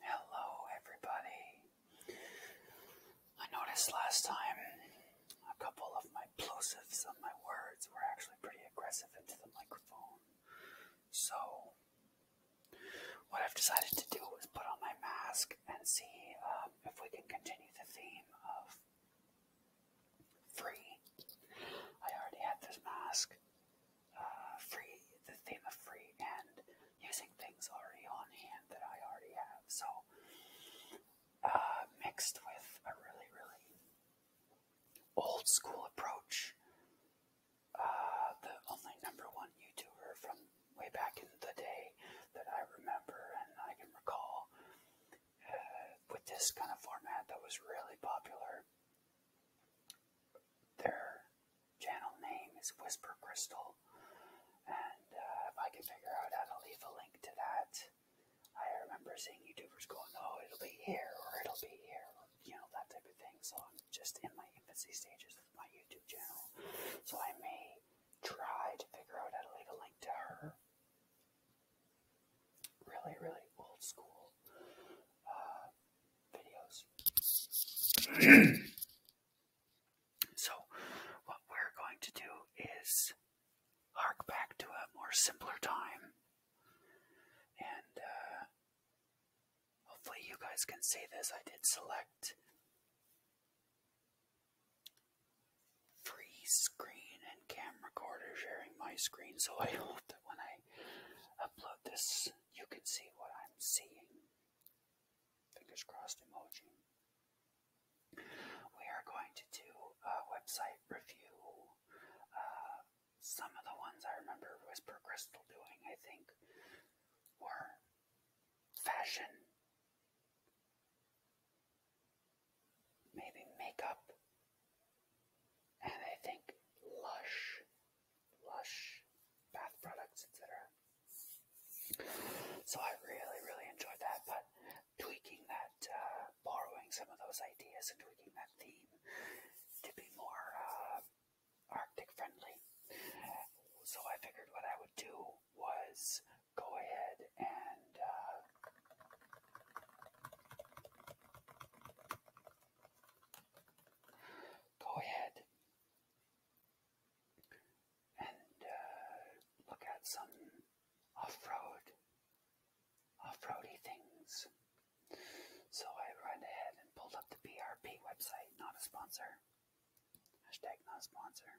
Hello, everybody. I noticed last time a couple of my plosives of my words were actually pretty aggressive into the microphone. So, what I've decided to do is put on my mask and see um, if we can continue the theme of free. I already had this mask uh, free the theme of free and using things already on hand that I already have. So uh, mixed with a really really old school approach. Uh, the only number one YouTuber from way back in the day that I remember and I can recall uh, with this kind of format that was really popular their channel name is Whisper Crystal, and uh, if I can figure out how to leave a link to that, I remember seeing YouTubers going, "Oh, it'll be here or it'll be here," you know that type of thing. So I'm just in my infancy stages of my YouTube channel, so I may try to figure out how to leave a link to her. Really, really old school. Uh, so, what we're going to do is hark back to a more simpler time. And uh, hopefully, you guys can see this. I did select free screen and cam recorder sharing my screen, so I hope that when I upload this you can see what I'm seeing. Fingers crossed emoji. We are going to do a website review. Uh, some of the ones I remember Whisper Crystal doing, I think, were fashion, maybe makeup, and I think Lush Lush bath products, etc. So I really, really enjoyed that, but tweaking that, uh, borrowing some of those ideas and tweaking that theme to be more uh, Arctic friendly. So I figured what I would do was go ahead and. Uh, go ahead and uh, look at some off-road, off-roady things. So I went ahead and pulled up the BRP website, not a sponsor, hashtag not a sponsor,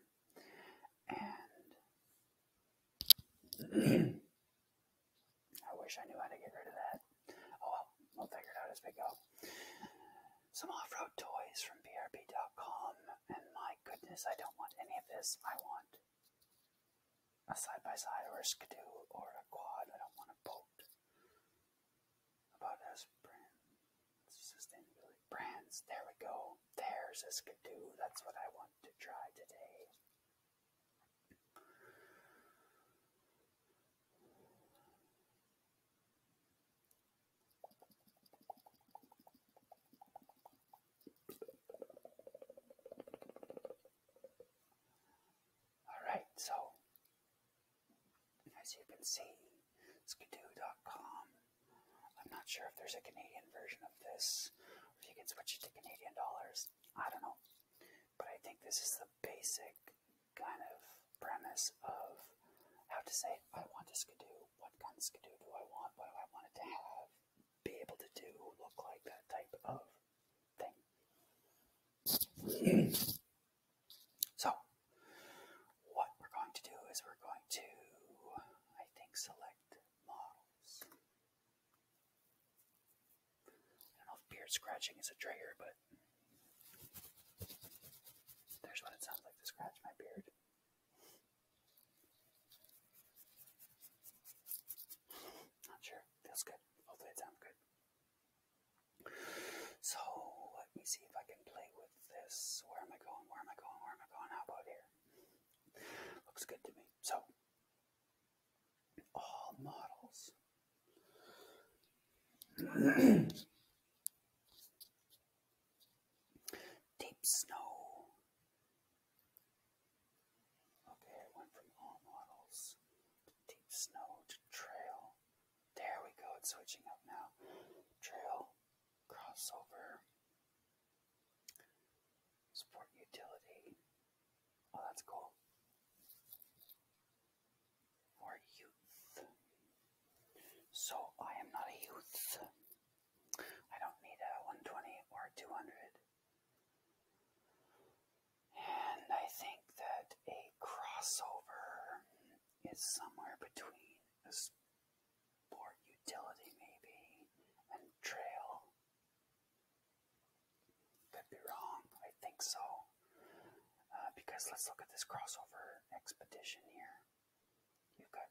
and I wish I knew how to get rid of that. Oh well, we'll figure it out as we go. Some off road toys from BRB.com, and my goodness, I don't want any of this. I want a side by side or a skidoo or a quad. I don't want a boat. About us brands, sustainability brands. There we go. There's a skidoo. That's what I want to try today. Alright, so as you can see, skidoo.com. I'm not sure if there's a Canadian version of this, or if you can switch it to Canadian dollars. I don't know. But I think this is the basic kind of premise of how to say, I want a skidoo, what kind of skidoo do I want, what do I want to have, be able to do, look like that type of thing. so, what we're going to do is we're going to, I think, select models. I don't know if beard scratching is a trigger, but there's what it sounds like to scratch my beard. Not sure. Feels good. Hopefully it sounds good. So let me see if I can play with this. Where am I going? Where am I going? Where am I going? How about here? Looks good to me. So all models Deep snow. Okay, it went from all models to deep snow to trail. There we go, it's switching up now. Trail, crossover, sport utility. Oh, that's cool for youth. So I am not a youth. I don't need a 120 or 200. And I think that a crossover is somewhere between a sport utility, maybe, and trail. Could be wrong, I think so. Uh, because let's look at this crossover expedition here. You've got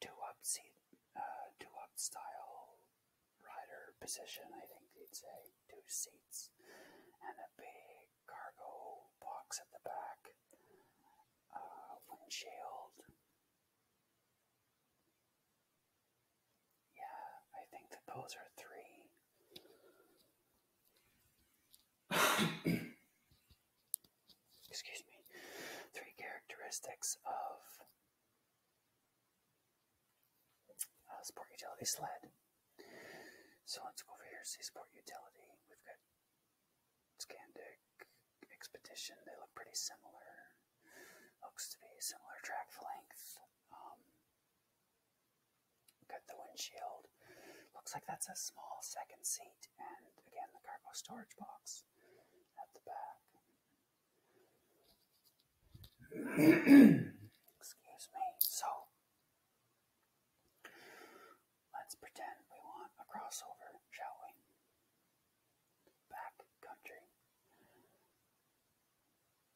two up seat, uh, two up style rider position. I think they'd say two seats and a big cargo box at the back, uh, windshield. Yeah, I think that those are three excuse me, three characteristics of uh, sport utility sled. So let's go over here, see sport utility. We've got Scandic, Expedition, they look pretty similar. Looks to be similar track length. Um, Look at the windshield. Looks like that's a small second seat, and again, the cargo storage box at the back. Excuse me. So, let's pretend we want a crossover, shall we? Back country.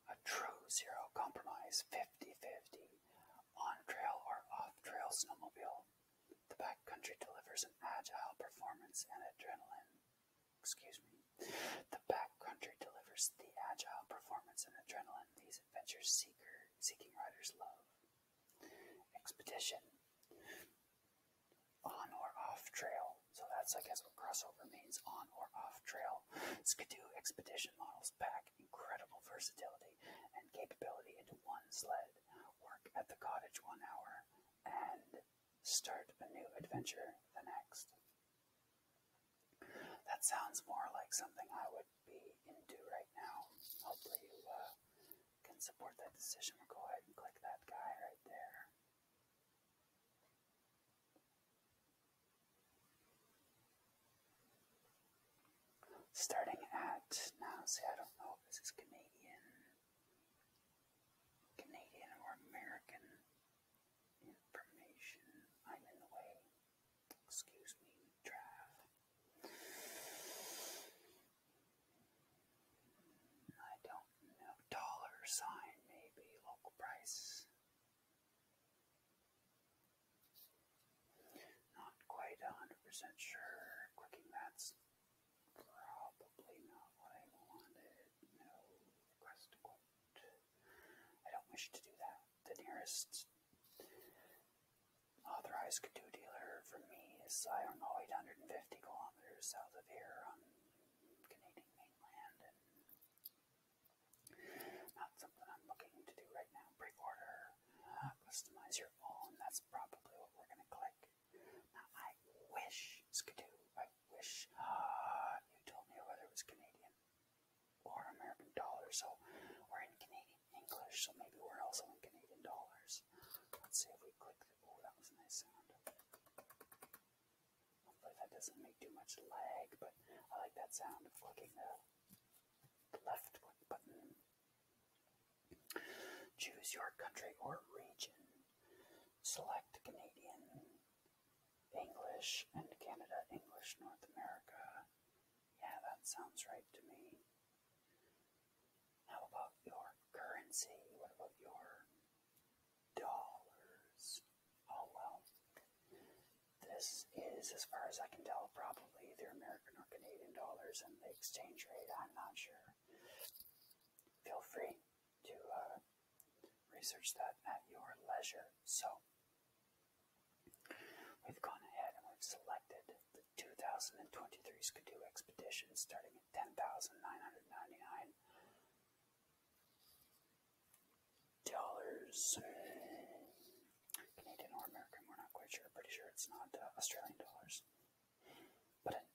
A true zero compromise, 50 on-trail or off-trail snowmobile, the backcountry delivers an agile performance and adrenaline. Excuse me. The backcountry delivers the agile performance and adrenaline these adventure seeker seeking riders love. Expedition. On or off trail. So that's I guess what crossover means, on or off trail. Skidoo expedition models back incredible versatility and capability into one sled, work at the cottage one hour, and start a new adventure the next. That sounds more like something I would be into right now. Hopefully, you uh, can support that decision. We'll go ahead and click that guy right there. Starting at now, see, I don't know if this is Canadian, Canadian or American information. I'm in the way. Excuse me, Trav. I don't know. Dollar sign, maybe local price. Not quite a hundred percent sure. Clicking that's probably not what I wanted. No request quote. I don't wish to do that. The nearest authorized Kadoo dealer for me is Iron Lloyd, 150 kilometers south of here on Canadian mainland, and not something I'm looking to do right now. Pre-order, uh, customize your own. That's probably what we're gonna click. I wish Skidoo. I wish uh, you told me whether it was Canadian or American dollars. So we're in Canadian English. So maybe we're also in Canadian dollars. Let's see if we click. The, oh, that was a nice sound. Hopefully that doesn't make too much lag, but I like that sound of clicking the leftward button. Choose your country or region. Select Canadian, English, and Canada, English, North America. Yeah, that sounds right to me. How about your currency? What about your dollars? Oh well. This is, as far as I can tell, probably they're American or Canadian dollars and the exchange rate, I'm not sure. Feel free to uh, research that at your leisure. So, we've gone ahead and we've selected the 2023 Skidoo expedition starting at 10,999 dollars, Canadian or American, we're not quite sure. Pretty sure it's not uh, Australian dollars. But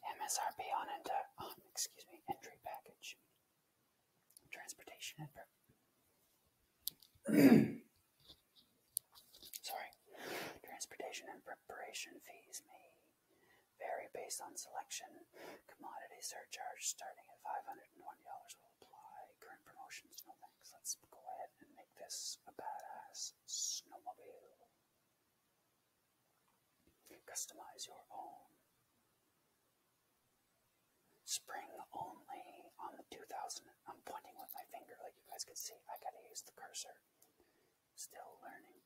MSRP on it, uh, um, excuse me, entry package, transportation and sorry, transportation and preparation fees may vary based on selection. Commodity surcharge starting at 525 dollars will apply. Current promotions, no thanks. Let's go ahead and make this a badass snowmobile. Customize your own. Spring only on the 2000. I'm pointing with my finger, like you guys can see. I gotta use the cursor. Still learning.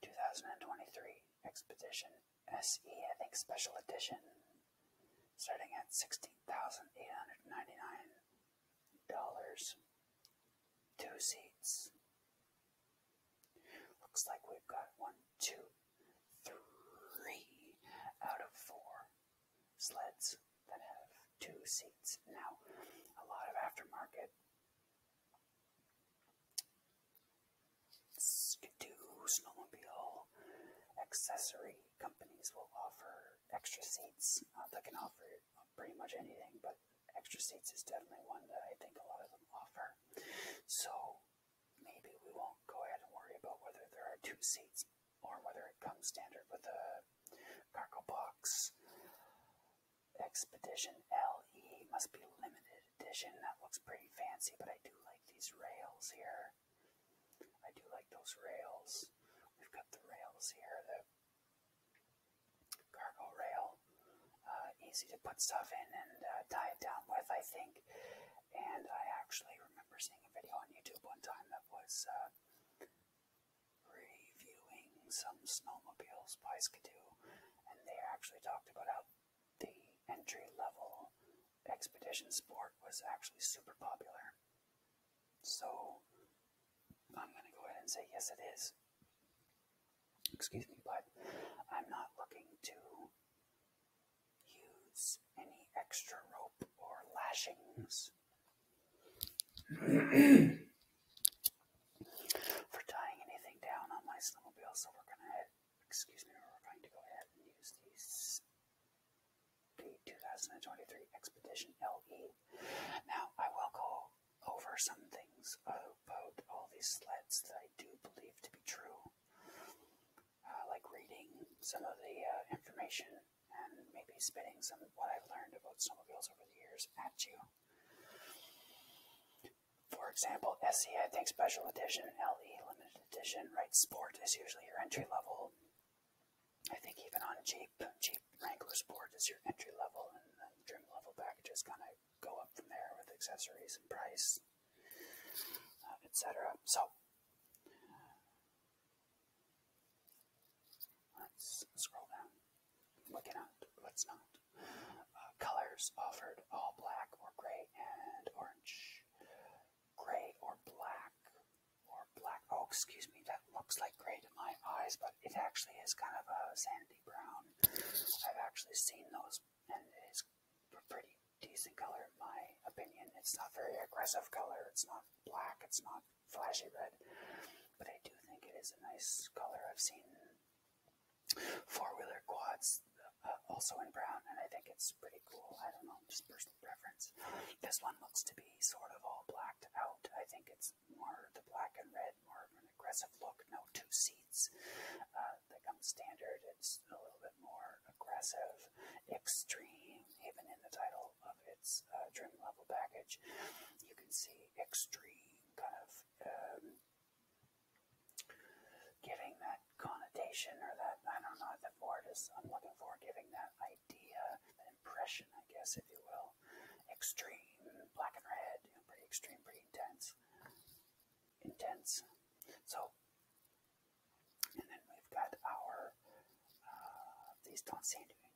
2023 Expedition SE, I think, special edition, starting at $16,899. Two seats. Looks like we've got one, two, three out of four sleds that have two seats. Now, a lot of aftermarket do snowmobile accessory companies will offer extra seats. Uh, they can offer pretty much anything, but extra seats is definitely one that I think a lot of them offer. So maybe we won't go ahead and worry about whether there are two seats or whether it comes standard with a cargo box. Expedition LE must be limited edition. That looks pretty fancy, but I do like these rails here here. I do like those rails. We've got the rails here, the cargo rail. Uh, easy to put stuff in and uh, tie it down with, I think. And I actually remember seeing a video on YouTube one time that was uh, reviewing some snowmobiles by Skidoo, and they actually talked about how the entry level expedition sport was actually super popular. So I'm going to go ahead and say yes, it is. Excuse me, but I'm not looking to use any extra rope or lashings for tying anything down on my snowmobile. So we're going to, excuse me, we're going to go ahead and use these the 2023 Expedition LE. Now, I will go over some things about all these sleds that I do believe to be true, uh, like reading some of the uh, information and maybe spitting some of what I've learned about snowmobiles over the years at you. For example, SE, I think Special Edition LE Limited edition, right? Sport is usually your entry level. I think even on Jeep, Jeep Wrangler Sport is your entry level, and then trim level packages kind of go up from there with accessories and price, uh, etc. So let's scroll down. What can not? What's not? Uh, colors offered: all black or gray and orange gray or black or black. Oh, excuse me, that looks like gray to my eyes, but it actually is kind of a sandy brown. I've actually seen those, and it is a pretty decent color, in my opinion. It's not very aggressive color. It's not black. It's not flashy red, but I do think it is a nice color. I've seen four-wheeler quads uh, also in brown, and I think it's pretty cool. I don't know, just personal preference. This one looks to be sort of all blacked out. I think it's more the black and red, more of an aggressive look. No two seats. Uh, they come standard. It's a little bit more aggressive, extreme, even in the title of its uh, trim level package. You can see extreme kind of um, giving that connotation or that, I don't know, the word is I'm looking for, giving that idea, that impression, I guess, if you will. Extreme, black and red, pretty extreme, pretty intense. Intense. So, and then we've got our, uh, these don't seem to be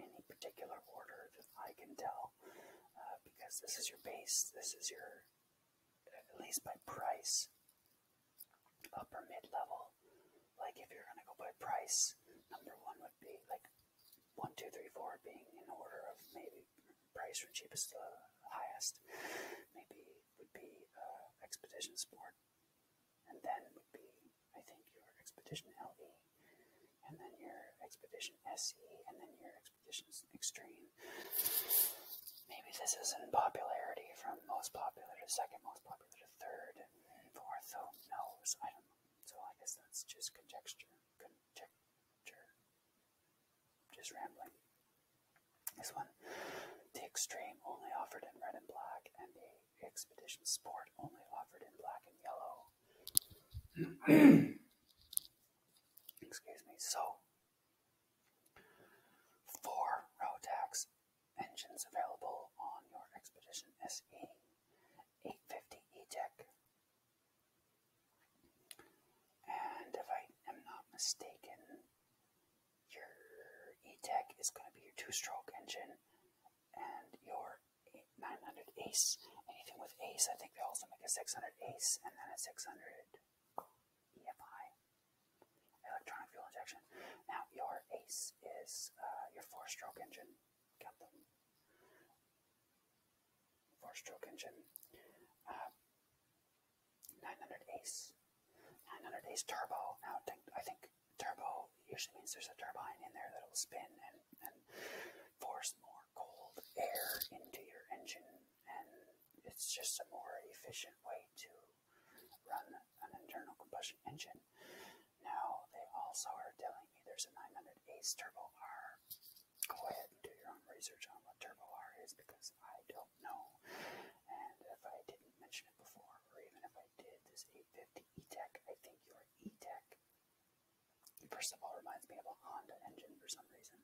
any, particular order that I can tell, uh, because this is your base, this is your, at least by price, upper mid level. Like if you're gonna go by price, number one would be like one, two, three, four being in order of maybe price from cheapest to highest. Maybe would be uh, Expedition Sport, and then would be I think your Expedition LE, and then your Expedition SE, and then your Expedition Extreme maybe this is not popularity from most popular to second most popular to third and fourth. Who knows? I don't know. So I guess that's just conjecture. Conjecture. Just rambling. This one. The Extreme only offered in red and black, and the Expedition Sport only offered in black and yellow. Excuse me. So, four Rotax engines available on your Expedition SE 850 E-Tech. And if I am not mistaken, your E-Tech is going to be your two-stroke engine and your 900 Ace. Anything with Ace, I think they also make a 600 Ace and then a 600 EFI. Electronic fuel injection. Now, your ACE is uh, your four stroke engine. Got the four stroke engine. Uh, 900 ACE. 900 ACE turbo. Now, I think turbo usually means there's a turbine in there that'll spin and force more cold air into your engine, and it's just a more efficient way to run an internal combustion engine. Now they also are telling me there's a 900 Ace Turbo R. Go ahead and do your own research on what Turbo R is because I don't know. And if I didn't mention it before, or even if I did, this 850 E-Tech, I think your E-Tech, first of all, reminds me of a Honda engine for some reason.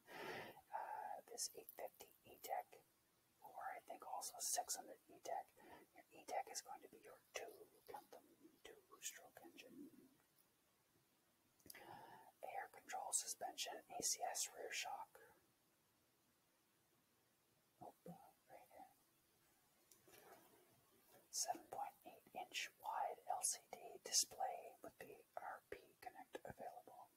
Uh, this 850 E-Tech or I think also 600 E-Tech. Your E-Tech is going to be your two, count two-stroke engine. Air control suspension, ACS rear shock. 7.8-inch uh, wide LCD display with the RP Connect available.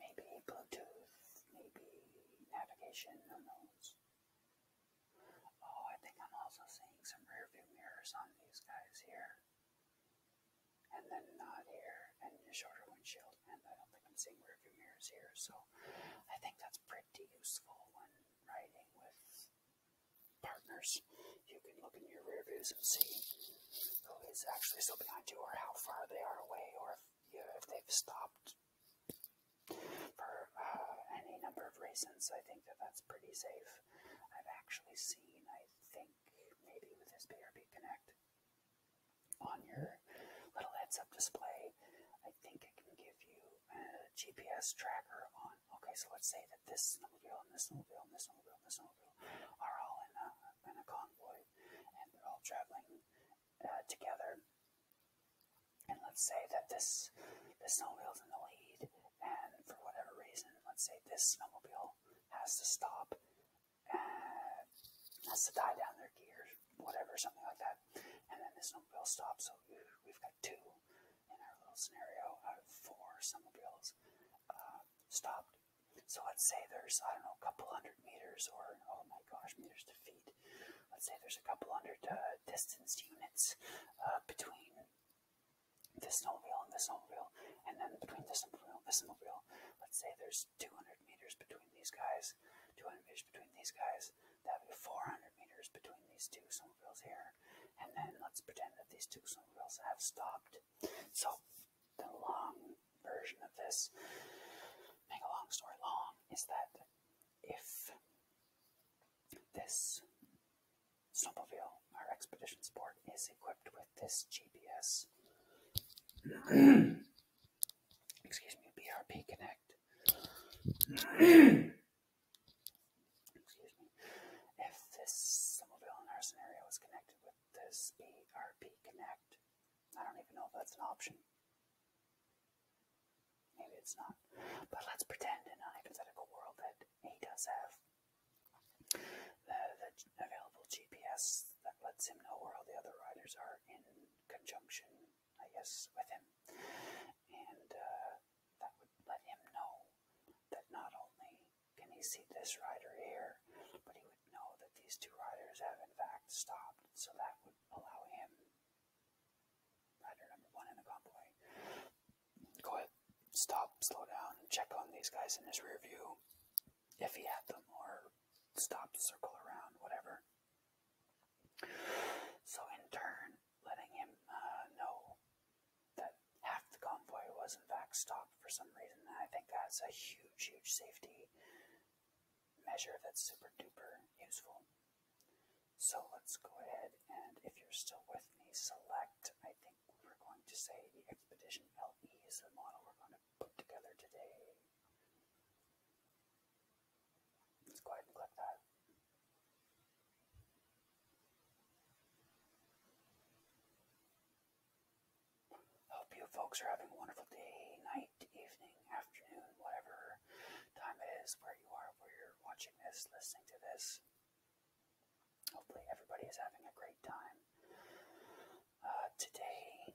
Maybe Bluetooth, maybe navigation, who knows? Oh, I think I'm also seeing some rearview mirrors on these guys here. And then not here, and a shorter windshield, and I don't think I'm seeing rearview mirrors here, so I think that's pretty useful when riding with partners. You can look in your rear views and see who oh, is actually still behind you, or how far they are away, or if if they've stopped for uh, any number of reasons, I think that that's pretty safe. I've actually seen, I think, maybe with this BRB Connect on your little heads-up display, I think it can give you a GPS tracker on. Okay, so let's say that this snowmobile and this snowmobile and this snowmobile and this snowmobile are all in a, in a convoy, and they're all traveling uh, together. And let's say that this this snowmobile's in the lead, and for whatever reason, let's say this snowmobile has to stop, and uh, has to die down their gears, whatever, something like that. And then this snowmobile stops, so we've got two in our little scenario out of four snowmobiles uh, stopped. So let's say there's, I don't know, a couple hundred meters or, oh my gosh, meters to feet. Let's say there's a couple hundred uh, distance units uh, between this wheel and this wheel, and then between this snowmobile and this wheel. Let's say there's 200 meters between these guys, 200 meters between these guys. That would be 400 meters between these two wheels here. And then let's pretend that these two wheels have stopped. So the long version of this, make a long story long, is that if this snowmobile, our expedition sport, is equipped with this GPS, excuse me, BRP Connect. excuse me. If this snowmobile in our scenario is connected with this BRP Connect I don't even know if that's an option. Maybe it's not. But let's pretend in a hypothetical world that he does have the, available GPS that lets him know where all the other riders are in conjunction, I guess, with him. And uh, that would let him know that not only can he see this rider here, but he would know that these two riders have in fact stopped, so that would allow him, rider number one in the convoy, go ahead, stop, slow down, check on these guys in his rear view, if he had them, or stop, circle around, whatever. So in turn, letting him uh, know that half the convoy was in fact stopped for some reason, I think that's a huge, huge safety measure that's super duper useful. So let's go ahead and if you're still with me, select, I think we're going to say the Expedition LE is the model we're going to put together today. Let's go ahead and click that. Hope you folks are having a wonderful day, night, evening, afternoon, whatever time it is where you are, where you're watching this, listening to this. Hopefully, everybody is having a great time. Uh, today,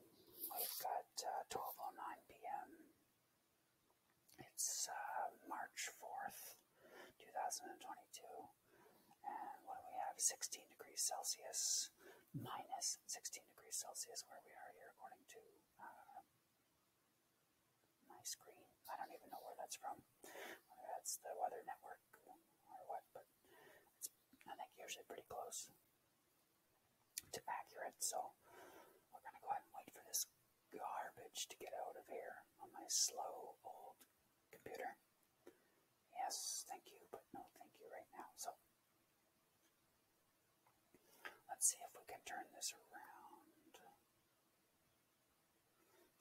we've got uh, 12.09 p.m. It's uh, March 4th, 2022. And what do we have? 16 degrees Celsius, minus 16 degrees Celsius where we are here, according to uh, my screen. I don't even know where that's from, whether that's the Weather Network or what, but it's, I think, usually pretty close to accurate. So we're going to go ahead and wait for this garbage to get out of here on my slow old computer. Yes, thank you, but no thank you right now. So Let's see if we can turn this around.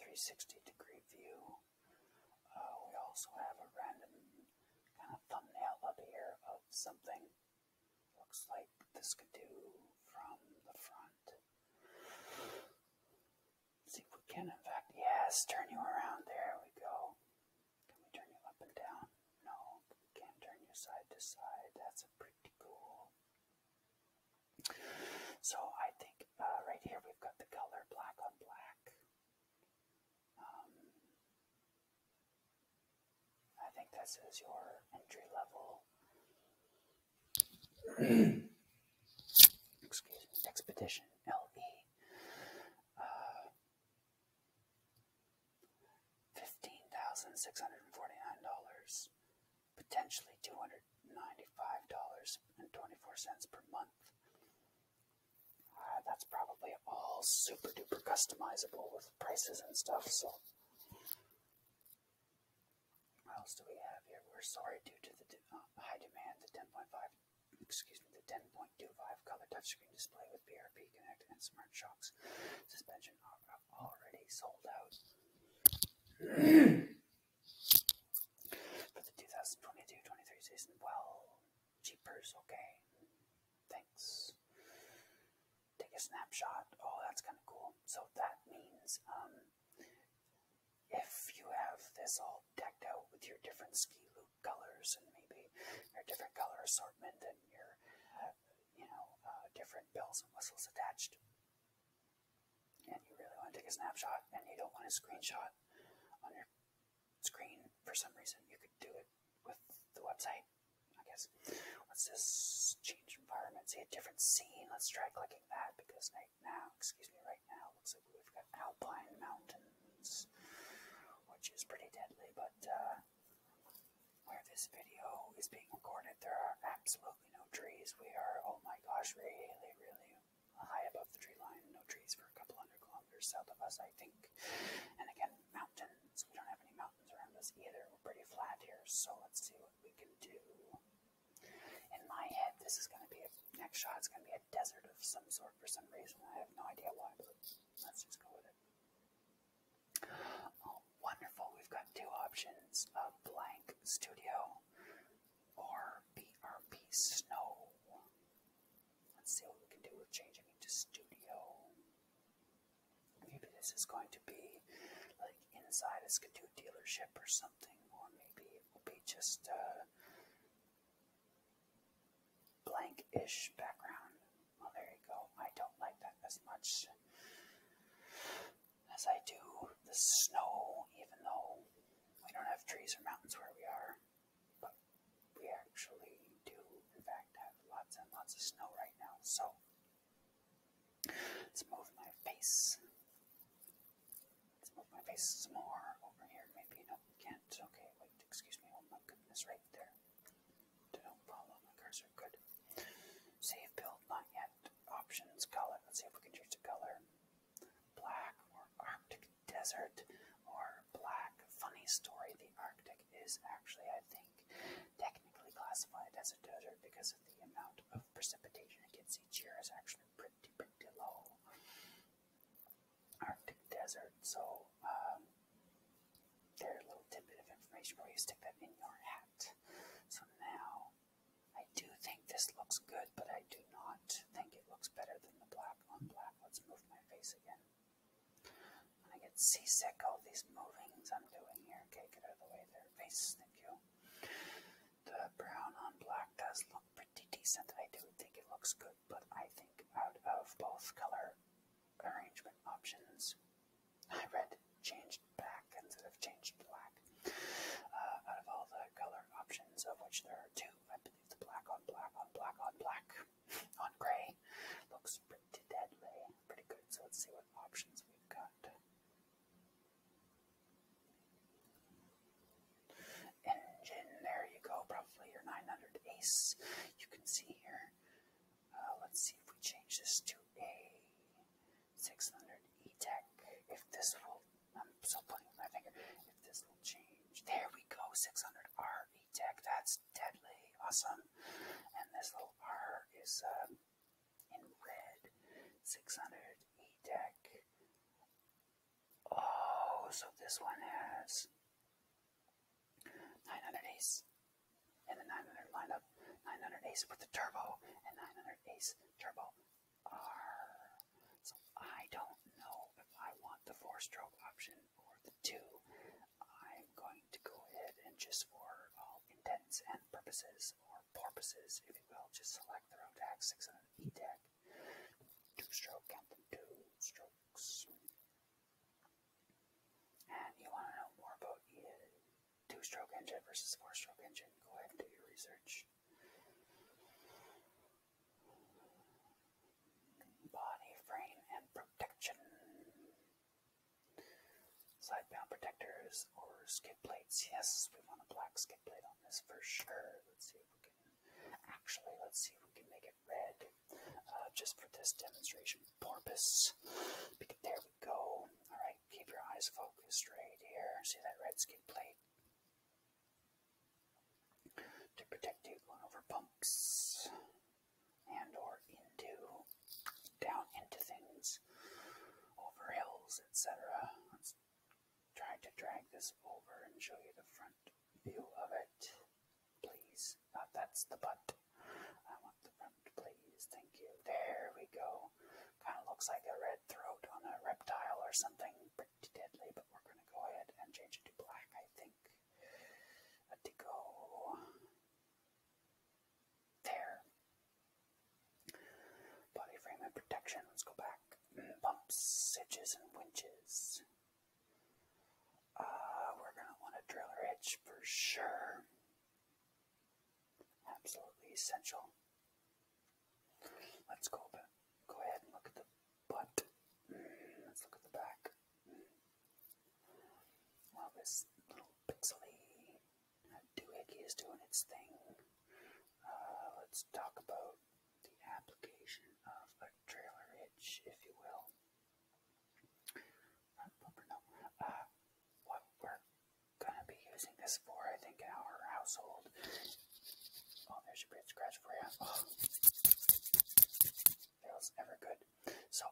360 degree view. Oh, we also have a random kind of thumbnail up here of something. Looks like this could do from the front. Let's see if we can, in fact, yes, turn you around. There we go. Can we turn you up and down? No, we can't turn you side to side. That's a pretty cool. So I think uh, right here we've got the color black on black. Um, I think this is your entry level. Excuse me, Expedition LV. Uh, Fifteen thousand six hundred and forty nine dollars, potentially two hundred ninety five dollars and twenty four cents per month. Uh, that's probably all super duper customizable with prices and stuff. So, what else do we have here? We're sorry due to the uh, high demand, the 10.5, excuse me, the 10.5 color touchscreen display with PRP Connect and Smart Shocks. Suspension already sold out. For the 2022 season, well, cheaper's okay. Thanks. Take a snapshot. Oh, that's kind of cool. So that means um, if you have this all decked out with your different ski loops, colors and maybe your different color assortment and your, uh, you know, uh, different bells and whistles attached. And you really want to take a snapshot and you don't want a screenshot on your screen for some reason. You could do it with the website, I guess. What's this change environment? See a different scene. Let's try clicking that because right now, excuse me, right now looks like we've got alpine mountains, which is pretty deadly, but uh, where this video is being recorded, there are absolutely no trees. We are, oh my gosh, really, really high above the tree line. No trees for a couple hundred kilometers south of us, I think. And again, mountains. We don't have any mountains around us either. We're pretty flat here, so let's see what we can do. In my head, this is going to be a next shot. It's going to be a desert of some sort for some reason. I have no idea why, but let's just go with it. Oh, wonderful. We've got two options a blank studio or BRP snow. Let's see what we can do with changing into studio. Maybe this is going to be like inside a Skidoo dealership or something, or maybe it will be just uh, blank-ish background. Well, there you go. I don't like that as much as I do the snow, even though we don't have trees or mountains where we are. But we actually do, in fact, have lots and lots of snow right now. So let's move my face. Let's move my face some more over here. Maybe no, we can't. Okay, wait. Excuse me. Oh my goodness, right there. Don't follow the cursor. Good. Save build, not yet. Options, color. Let's see if we can choose a color. Black or Arctic desert or black. Funny story, the Arctic is actually, I think, technically classified as a desert because of the amount of precipitation it gets each year is actually pretty, pretty low. Arctic desert, so little, um, their little tidbit of information where you stick that in your hat. So now, I do think this looks good, but I do not think it looks better than the black on black. Let's move my face again. When I get seasick, all these movings I'm doing here. Okay, get out of the way there. Face, thank you. The brown on black does look pretty decent. I do think it looks good, but I think out of both color arrangement options. I read changed back instead of changed black. Uh, out of all the color options, of which there are two, I believe the black on black on black on black on gray looks pretty deadly, pretty good. So let's see what options we've got. Engine, there you go, probably your 900 Ace. You can see here uh, let's see if we change this to a 600 E-Tech. If this will, I'm still putting my finger, if this will change. There we go, 600R E-Tech. That's deadly awesome. And this little R is um, in red, 600 E-Tech. Oh, so this one has 900 Ace and the 900 lineup. 900 Ace with the turbo and 900 Ace turbo R. So I don't know if I want the four stroke option or the two. I'm going to go ahead and just for all intents and purposes, or purposes if you will, just select the road deck 600 E deck. Two stroke, count them two strokes. And you want to know more about two stroke engine versus four stroke engine, go ahead and do your research. Body frame and protection. Side bound protectors or skid plates. Yes, we want a black skid plate on this for sure. Let's see if we can actually let's see if we can make it red uh, just for this demonstration purpose. there we go. All right, keep your eyes focused right here. See that red skin plate? To protect you going over bumps and or into down into things, over hills, etc. Let's try to drag this over and show you the front view of it, please. Uh, that's the butt. I want the front, please. Thank you. There we go. Kind of looks like a red throat on a reptile or something. Pretty deadly, but we're going to go ahead and change it to black, I think. A go. There. Body frame and protection. Let's go back. Mm, bumps, edges, and winches. Uh, we're going to want a drill hitch for sure. Absolutely essential. Let's go, go ahead and look at the butt. Mm, let's look at the back. While this little pixely doohickey is doing its thing. Uh, let's talk about the application of a trailer hitch, if you will not Pumpernickel. Uh, what we're gonna be using this for, I think, in our household. Oh, there's a scratch for you. Oh. Feels never good. So,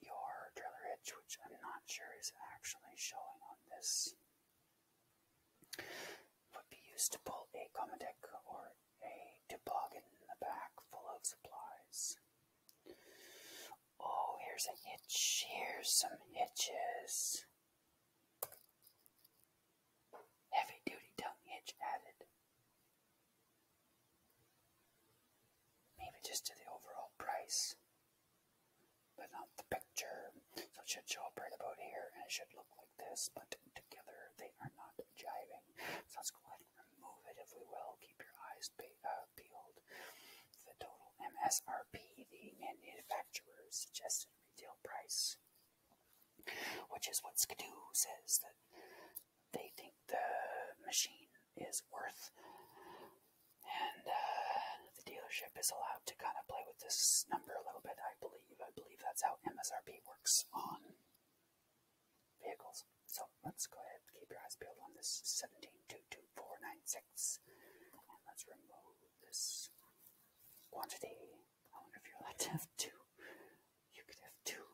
your trailer hitch, which I'm not sure is actually showing on this, would be used to pull a Comodec or a toboggan in the back full of supplies. Oh, here's a hitch. Here's some hitches. Heavy duty tongue hitch added. Maybe just to the overall price, but not the picture. So it should show about here and it should look like this, but together they are not jiving. So let remove it if we will. Keep your eyes uh, peeled. The total MSRP the manufacturer suggested retail price, which is what Skidoo says that they think the machine is worth. And uh, the dealership is allowed to kind of play with this number a little bit, I believe. I believe that's how MSRP works on vehicles. So let's go ahead keep your eyes peeled on this 1722496. And let's remove this quantity. I wonder if you're allowed to have two. You could have two,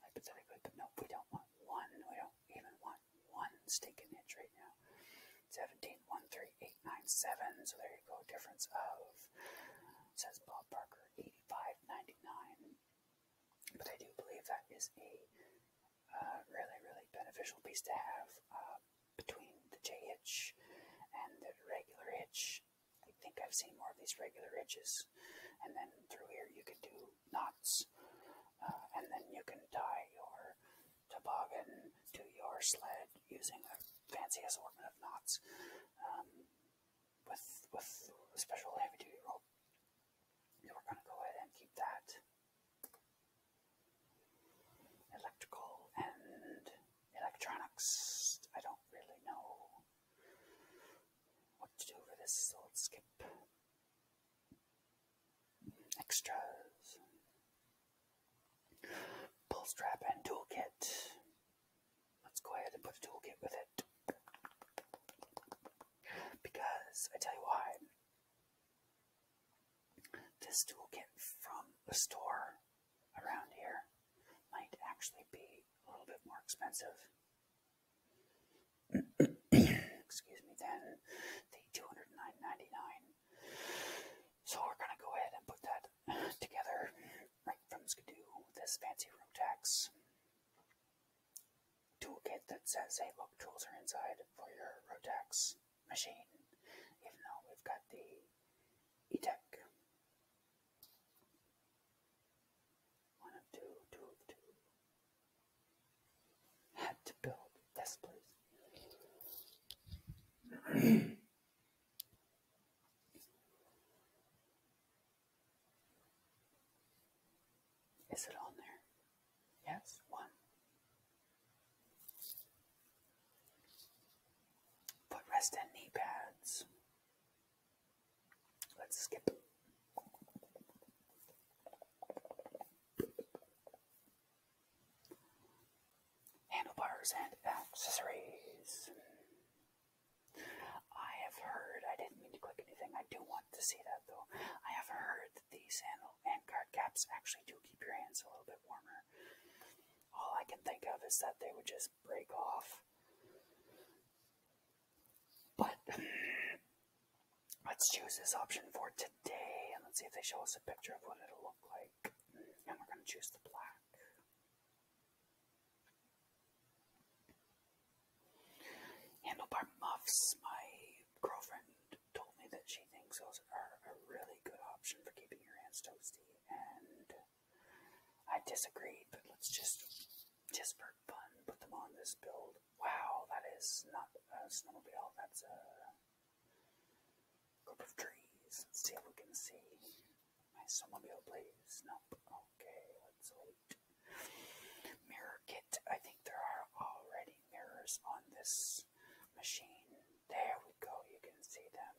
hypothetically, but no, we don't want one. We don't even want one stinking inch right now. 1713897. So there you go, difference of says Bob Parker 85.99. But I do believe that is a uh, really, really beneficial piece to have uh, between the J hitch and the regular hitch. I think I've seen more of these regular hitches, and then through here you can do knots, uh, and then you can tie your toboggan to your sled using a fancy assortment of knots um, with with a special heavy duty rope we're going to go ahead and keep that. Electrical and electronics. I don't really know what to do for this, so skip extras. Pull strap and toolkit. Let's go ahead and put a toolkit with it. Because I tell you why, this toolkit from the store around here might actually be a little bit more expensive. Excuse me, Then the two hundred nine ninety nine. So we're gonna go ahead and put that together right from Skidoo with this fancy room tax toolkit that says, hey, look, tools are inside for your Rotax machine, even though we've got the e One of two, two of two. Had to build this, please. Is it on there? Yes, one. Put and knee pads. Let's skip. Handlebars and accessories. I have heard, I didn't mean to click anything, I do want to see that though. I have heard that these handle hand card caps actually do keep your hands a little bit warmer. All I can think of is that they would just break off. But let's choose this option for today and let's see if they show us a picture of what it'll look like. And we're going to choose the black. Handlebar muffs. My girlfriend told me that she thinks those are a really good option for keeping your hands toasty, and I disagreed. But let's just, just for fun, put them on this build. Wow, that is not a snowmobile. That's a group of trees. Let's see if we can see my snowmobile, please. Nope. Okay, let's wait. Mirror kit. I think there are already mirrors on this machine. There we go. You can see them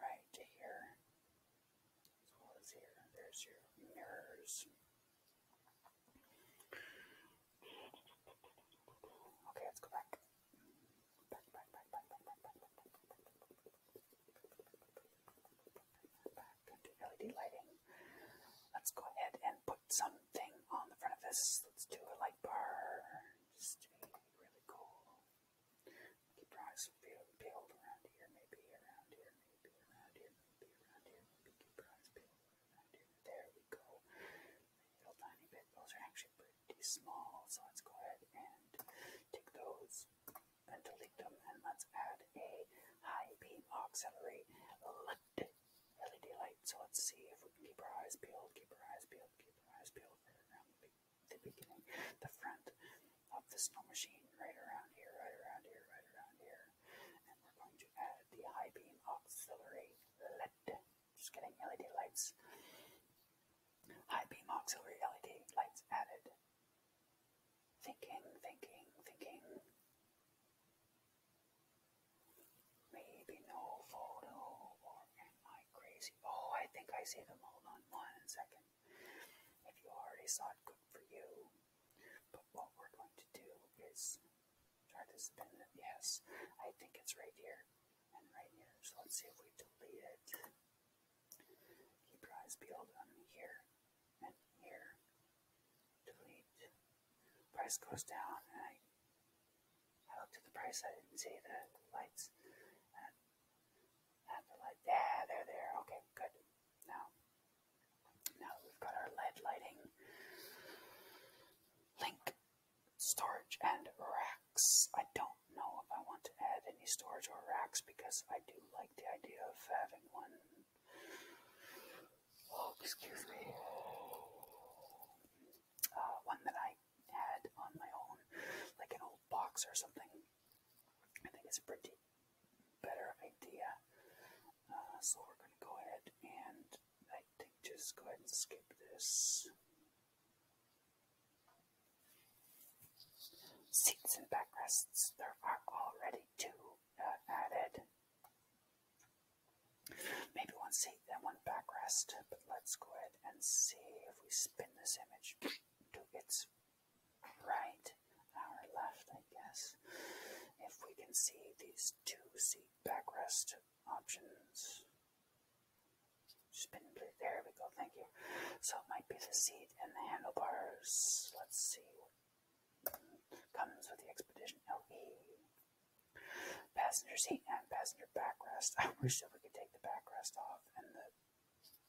right here. As well as here. There's your mirrors. Okay, let's go back back into LED lighting. Let's go ahead and put something on the front of this. Let's do a light bar, just to be really cool. Keep your eyes peeled, peeled around here, maybe around here, maybe around here, maybe around here, maybe keep your eyes peeled around here. There we go. A little tiny bit. Those are actually pretty small, so let's go ahead and take those and delete them, and let's add a high beam auxiliary. Look LED light. So let's see if we keep our eyes peeled, keep our eyes peeled, keep our eyes peeled right around the, the beginning, the front of the snow machine, right around here, right around here, right around here. And we're going to add the high beam auxiliary LED. Just getting LED lights. High beam auxiliary LED lights added. Thinking, thinking, thinking. Maybe no photo, or am I crazy? Oh, I think I see them. Hold on one second. If you already saw it, good for you. But what we're going to do is try to spin it. Yes, I think it's right here and right here. So let's see if we delete it. Keep your eyes peeled on here and here. Delete. Price goes down, and I, I looked at the price. I didn't see the lights. And, the light, yeah, they're there. Okay, good. Now, now we've got our LED lighting link storage and racks. I don't know if I want to add any storage or racks because I do like the idea of having one Oh, excuse me, uh, one that I had on my own, like an old box or something. I think it's a pretty better idea. Uh, so we're going to go ahead and I think just go ahead and skip this. Seats and backrests, there are already two. Uh, added. Maybe one seat and one backrest, but let's go ahead and see if we spin this image to its right, our left, I guess. If we can see these two seat backrest options. Spin, there we go, thank you. So it might be the seat and the handlebars. Let's see Comes with the Expedition LE. Passenger seat and passenger backrest. I wish that we could take the backrest off and the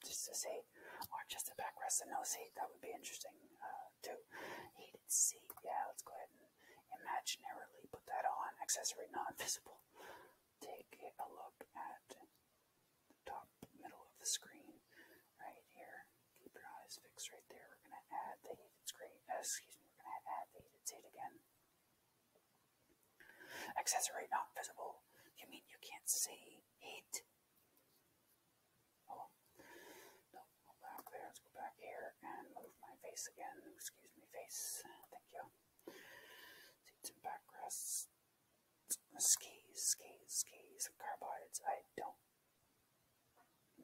just to seat, or just the backrest and no seat. That would be interesting uh, too. Heated seat. Yeah, let's go ahead and imaginarily put that on. Accessory not visible. Take a look at the top middle of the screen right here keep your eyes fixed right there. We're going to add the heated screen, uh, excuse me, we're going to add the heated seat again. Accessory not visible. You mean you can't see heat? Oh, no, back there. Let's go back here and move my face again. Excuse me, face. Thank you. Seats and backrests. Skis, skis, skis, carbides. I don't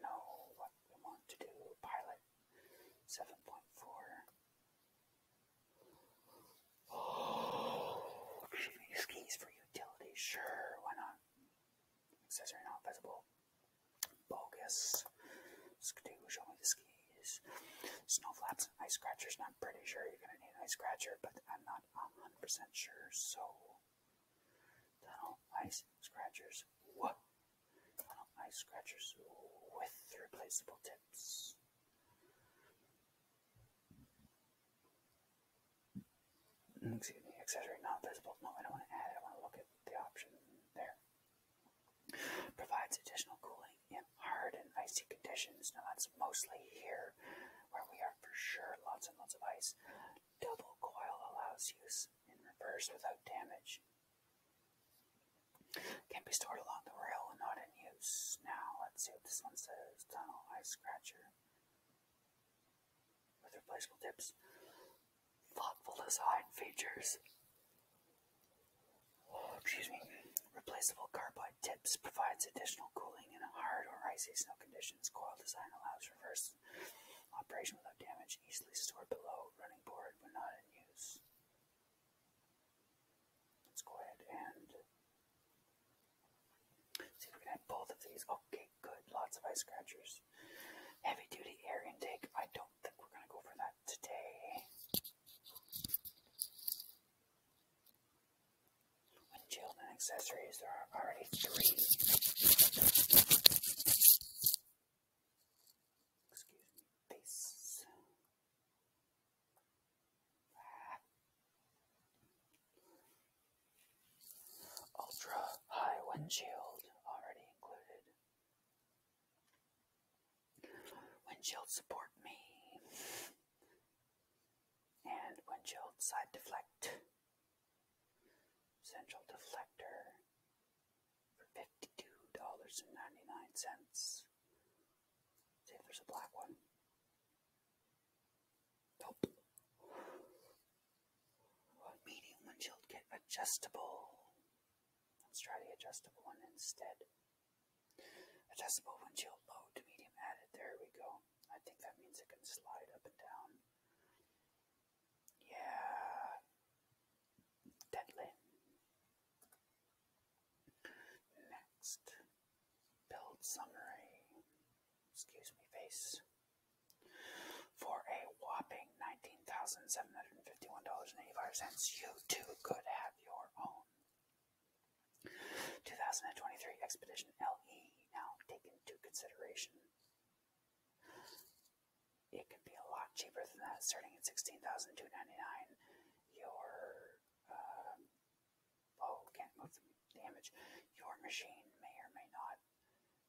know what we want to do. Pilot 7.4. Oh, these for utilities. Sure, why not? Accessory not visible. Bogus. show me the skis. Snow flaps ice scratchers. And pretty sure you're going to need ice scratcher, but I'm not 100% sure. So, Tunnel ice scratchers. What? Tunnel ice scratchers with replaceable tips. Mm, excuse me, accessory not visible. No, I don't want to add it. I want to look at the option there. Provides additional cooling in hard and icy conditions. Now, that's mostly here where we are for sure. Lots and lots of ice double coil allows use in reverse without damage. Can be stored along the rail and not in use. Now, let's see what this one says. Tunnel Ice Scratcher with replaceable tips. Thoughtful design features. Oh, excuse me. Replaceable carbide tips provides additional cooling in hard or icy snow conditions. Coil design allows reverse operation without damage easily stored below running board when not in use. Let's go ahead and see if we can both of these. Okay, good. Lots of ice scratchers. Heavy duty air intake. I don't think we're going to go for that today. Windshield and accessories. There are already three. Excuse me, this. Ultra high windshield already included. Windshield support me. And windshield side deflect. Central deflector for $52.99. See if there's a black one. Nope. medium windshield kit adjustable. Let's try the adjustable one instead. Adjustable windshield low to medium added. There we go. I think that means it can slide up and down. Yeah. Deadly. Next. Build summary. Excuse me, face. For a whopping $19,751.85, you too could have your own. 2023 Expedition LE now taken into consideration it can be a lot cheaper than that, starting at sixteen thousand two ninety nine. Your um, oh, can't move the, image. Your machine may or may not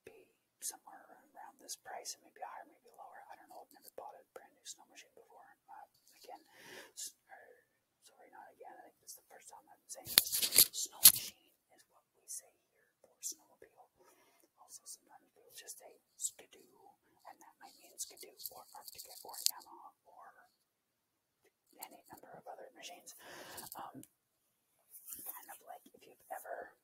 be somewhere around this price. It may be higher, maybe lower. I don't know. I've never bought a brand new snow machine before. Uh, again, sorry, not again. I think this is the first time I'm saying this. Snow machine is what we say here for snowmobile. Also, sometimes we'll just say skidoo, and that might mean skidoo or Arctic or Yamaha or any number of other machines. Um, kind of like if you've ever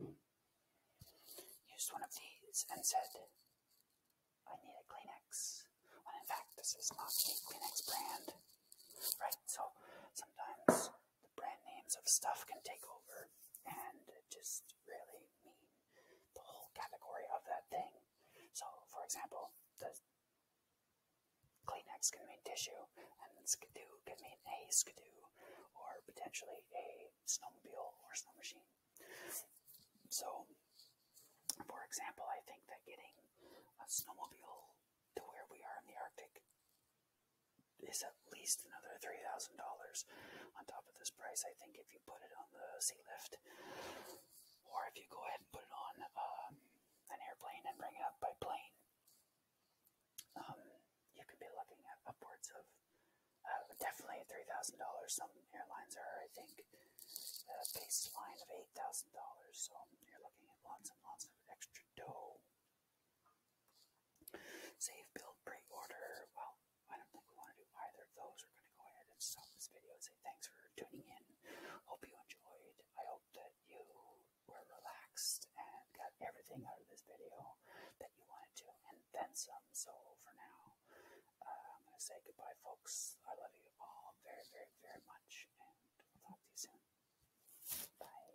used one of these and said, I need a Kleenex, when in fact this is not a Kleenex brand, right? So sometimes the brand names of stuff can take over and just really mean the whole category of that thing. So, for example, the Kleenex can mean tissue, and skidoo can mean a skidoo, or potentially a snowmobile or snow machine. So, for example, I think that getting a snowmobile to where we are in the Arctic is at least another $3,000 on top of this price. I think if you put it on the sea lift, or if you go ahead and put it on um, an airplane and bring it up by plane, um, you could be looking at upwards of uh, definitely $3,000. Some airlines are, I think, a baseline of $8,000. So you're looking at lots and lots of extra dough. Save, build, pre-order. Well, I don't think we want to do either of those. We're going to go ahead and stop this video and say thanks for tuning in. Hope you enjoyed. I hope that you were relaxed and got everything out of this video that you wanted to, and then some. So for now, uh, I'm going to say goodbye, folks. I love you all very, very, very much, and we will talk to you soon. Bye.